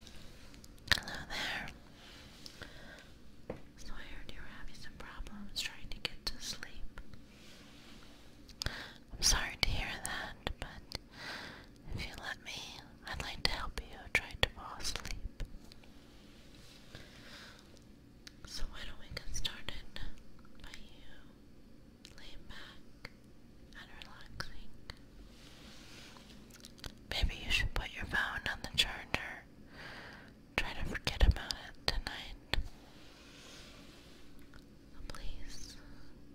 Hello there. So I heard you were having some problems trying to get to sleep. I'm sorry to hear that, but if you let me, I'd like to help you try to fall asleep. So why don't we get started by you laying back and relaxing? Maybe you should put your phone on the charger. Try to forget about it tonight. Please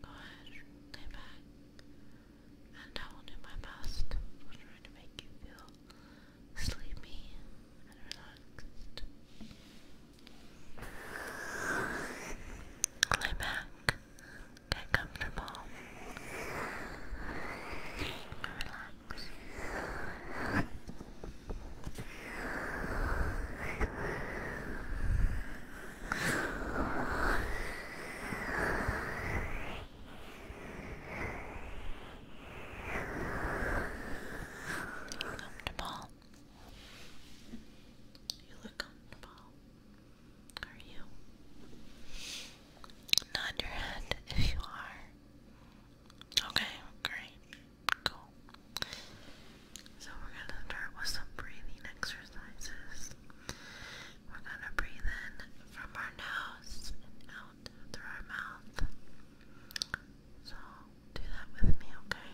go ahead, lay back, and I will do my best. to make you feel sleepy and relaxed. Lay back Get comfortable. Relax. Comfortable. You look comfortable. Are you? Nod your head if you are. Okay, great. Cool. So we're gonna start with some breathing exercises. We're gonna breathe in from our nose and out through our mouth. So do that with me, okay?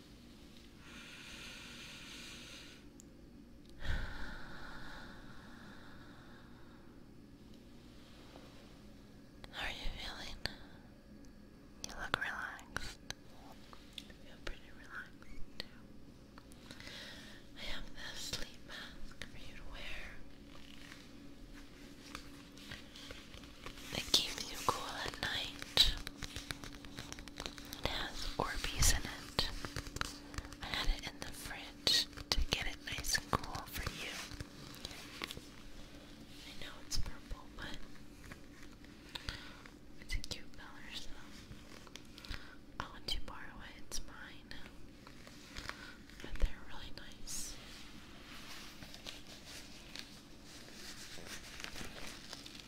How are you feeling? You look relaxed. I feel pretty relaxed too. I have this sleep mask for you to wear. It keeps you cool at night. It has Orbeez in it. I had it in the fridge to get it nice and cool for you. I know it's purple, but it's a cute color, so I want to borrow it. It's mine. But they're really nice.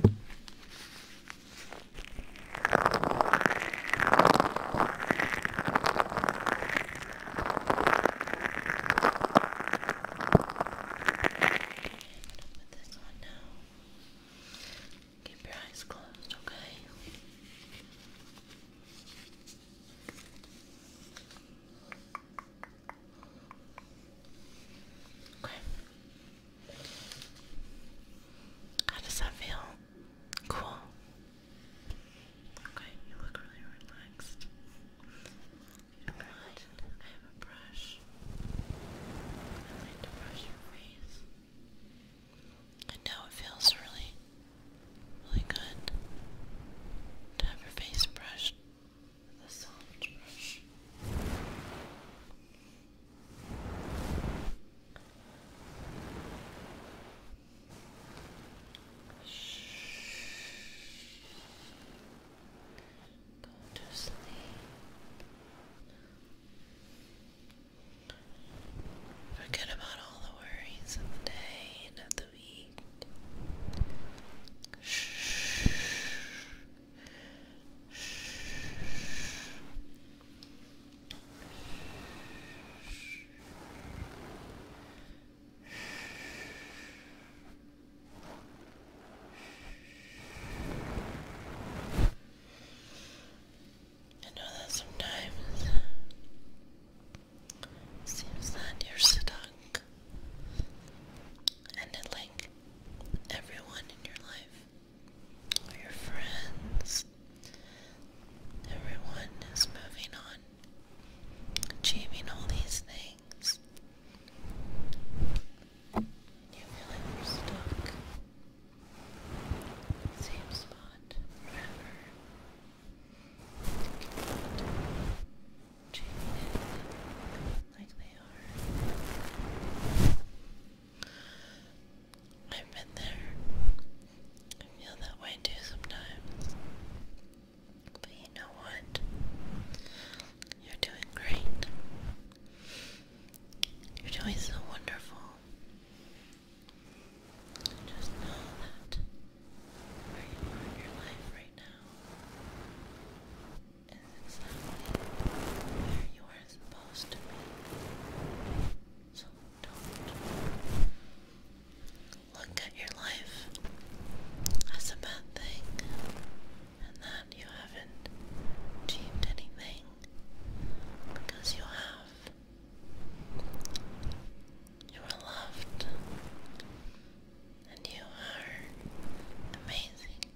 put this on now. Keep your eyes closed, okay? Okay. Okay. How does that feel? Cool. Okay, you look really relaxed. You I have a brush. I like to brush your face. I know it feels really, really good to have your face brushed with soft brush. Go to sleep. Forget about all the worries of the day and of the week. Shh. I know that sometimes it seems that you're stuck and it like everyone in your life, or your friends. Everyone is moving on, achieving all these things. You feel are stuck. Same spot forever like they are. I've been there. I feel that way too sometimes. But you know what? You're doing great. You're doing so wonderful. Just know that where you are in your life right now is exactly where you are supposed to be. So don't look at your life as a bad thing and that you haven't achieved anything because you have. You are loved and you are amazing.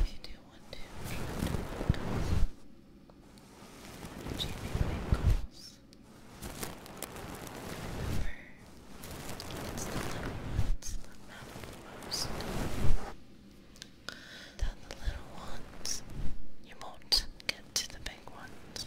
If you do want to try to focus remember it's the little ones that the little ones, you won't get to the big ones.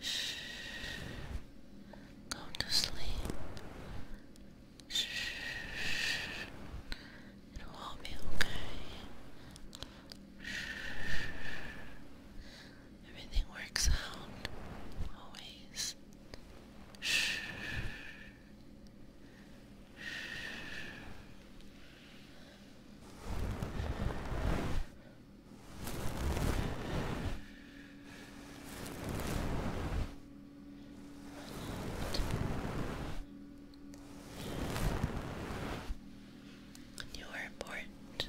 Shh. Go to sleep. It'll all be okay. Everything works out. Always. You are important.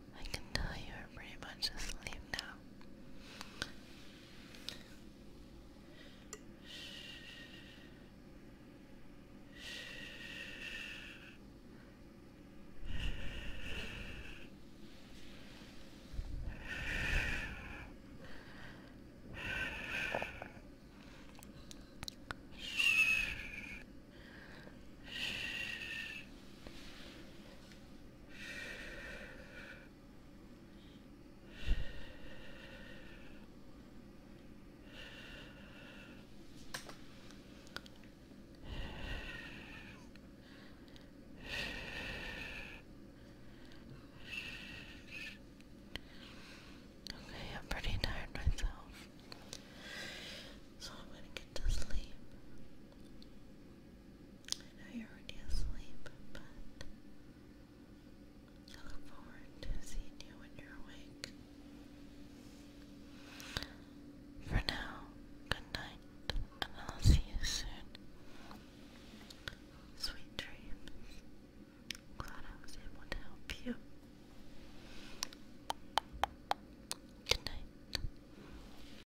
I can tell you are pretty much asleep now. Okay, I'm pretty tired myself, so I'm gonna get to sleep. I know you're already asleep, but I look forward to seeing you when you're awake. For now, good night, and I'll see you soon. Sweet dreams. Glad I was able to help you. Good night.